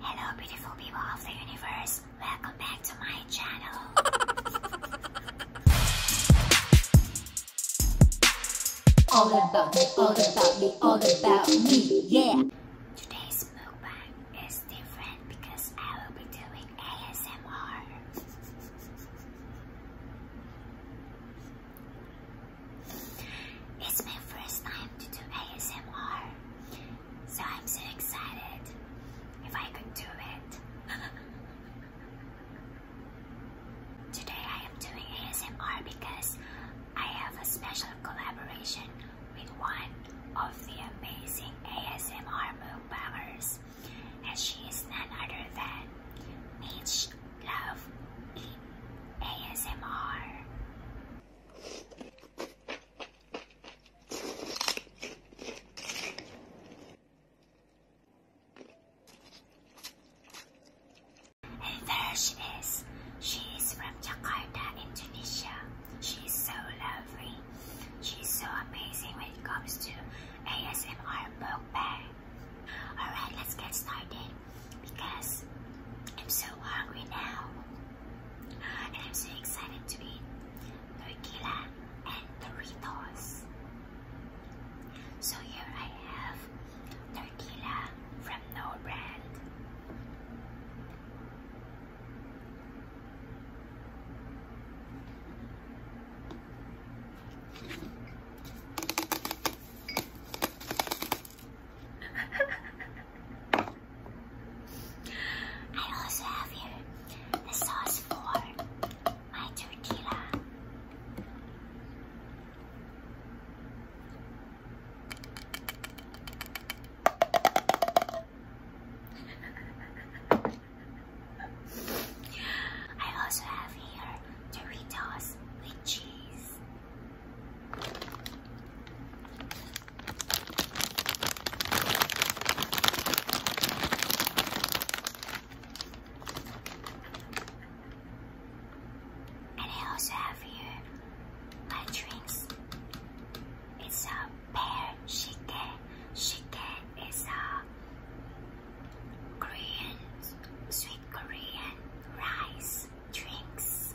Hello beautiful people of the universe, welcome back to my channel. all about me, all about me, all about me, yeah. Today's mukbang is different because I will be doing ASMR. It's my first time to do ASMR so I'm so excited if I could do it. Today I am doing ASMR because I have a special collaboration with one of the amazing ASMR moonbangers and she is none other than Mitch Love in ASMR. And there she is. She is from Jakarta, Indonesia. She's so lovely. She's so amazing when it comes to ASMR book mukbang. Alright, let's get started because I'm so hungry now. And I'm so excited to eat tortilla and Doritos. So here I have tortilla from No Brand. I also have here the sauce for my tortilla. I also have here Doritos with cheese. And I also have here my drinks. It's a pear shike. Shike is a Korean, sweet Korean rice drinks.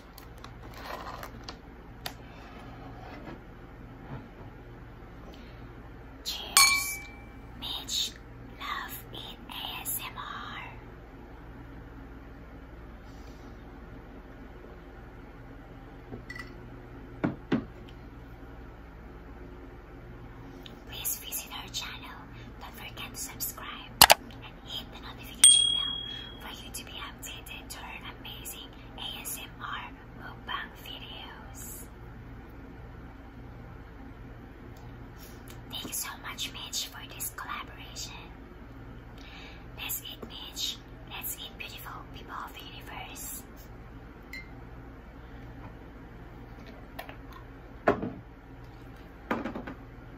Cheers, Mitch. Love in ASMR. Please visit our channel. Don't forget to subscribe hit the notification bell for you to be updated to our amazing ASMR mukbang videos. Thank you so much, Mitch, for this collaboration. Let's eat, Mitch. Let's eat, beautiful people of the universe.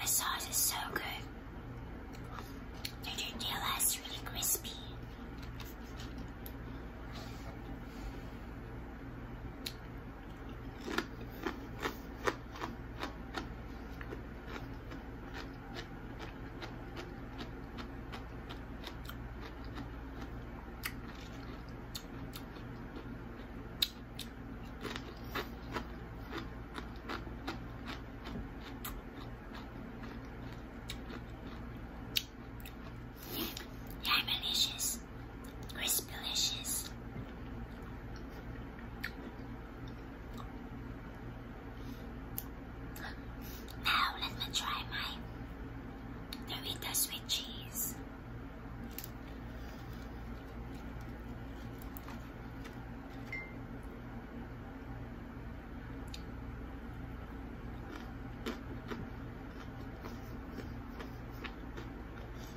The sauce is so good. Did you feel really crispy? Yeah, I'm delicious delicious. Crisp delicious. Now let me try my Doritos with cheese.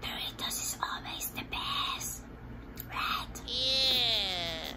Doritos is always the best, right? Yeah.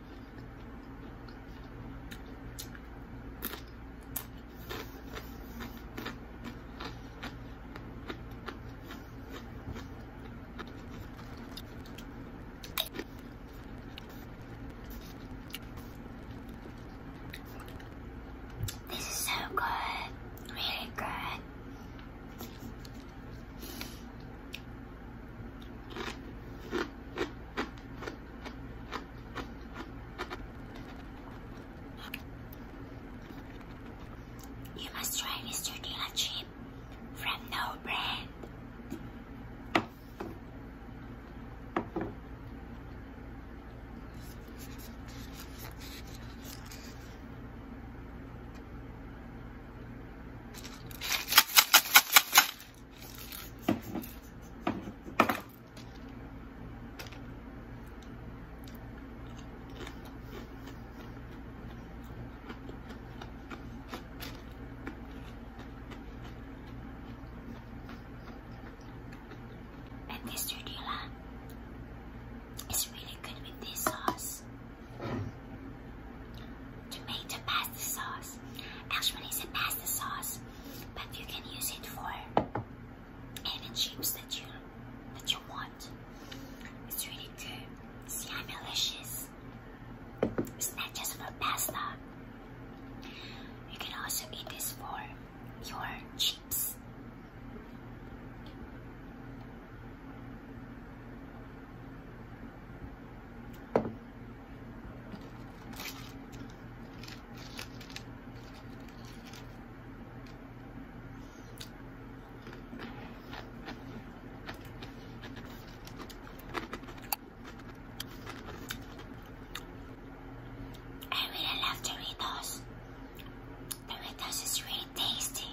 This is so good, really good. You must try Mr. Dilla chip from No Brand. And this tortilla is really good with this sauce. Tomato pasta sauce sauce. Actually, a pasta sauce, but you can use it for any chips that you that you want. It's really good. See, I'm delicious. It's not just for pasta. You can also eat this for your chips. I really love Doritos. Doritos is really tasty.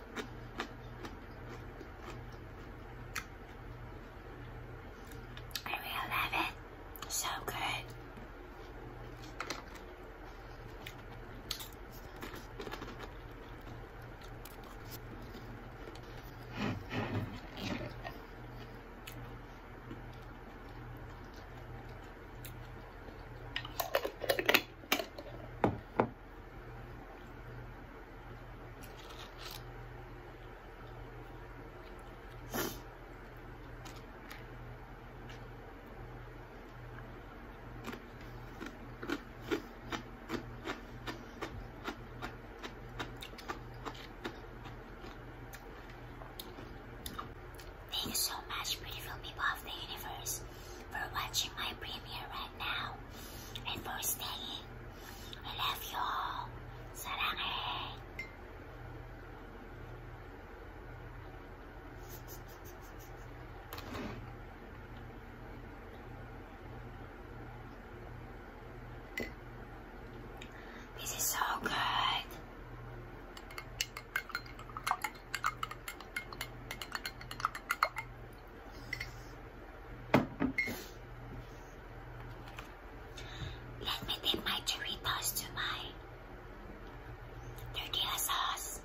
I really love it. So good. Thank you so much, beautiful people of the universe, for watching my premiere right now and for staying. I love you all. Sarang. This is so good. Let me dip my Doritos to my tortilla sauce.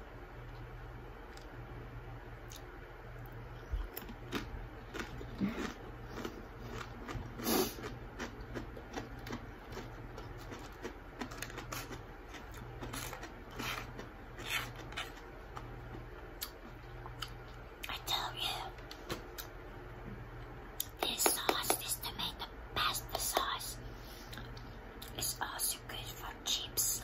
I tell you, this sauce is tomato pasta sauce. It's also good for chips.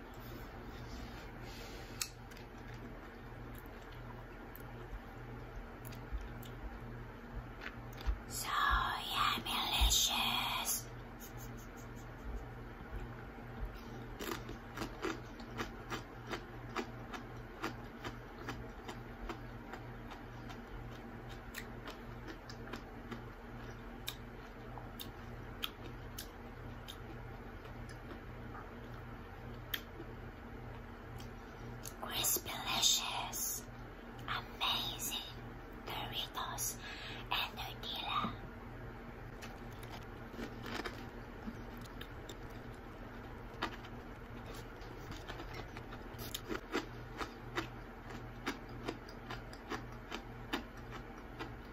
So yeah, delicious. Crispy delicious, amazing Doritos and tortilla.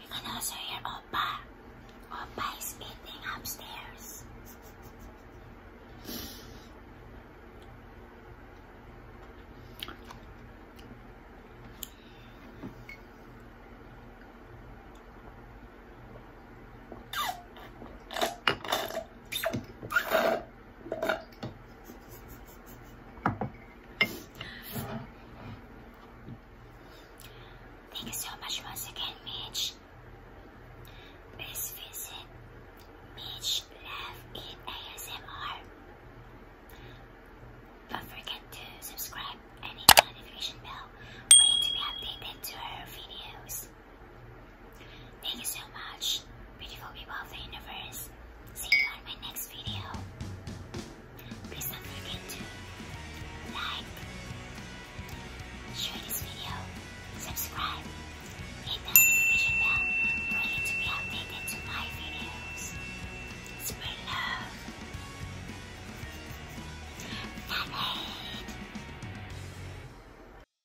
You can also your Oppa. Oppa is eating upstairs. Thank you so much once again, Mitch. Please visit Mitch Love in ASMR. Don't forget to subscribe and hit the notification bell for to be updated to her videos. Thank you so much, beautiful people of the universe. See you on my next video. Please don't forget to like, share this video, subscribe, hit the notification bell for to be updated to my videos. Spread love. Not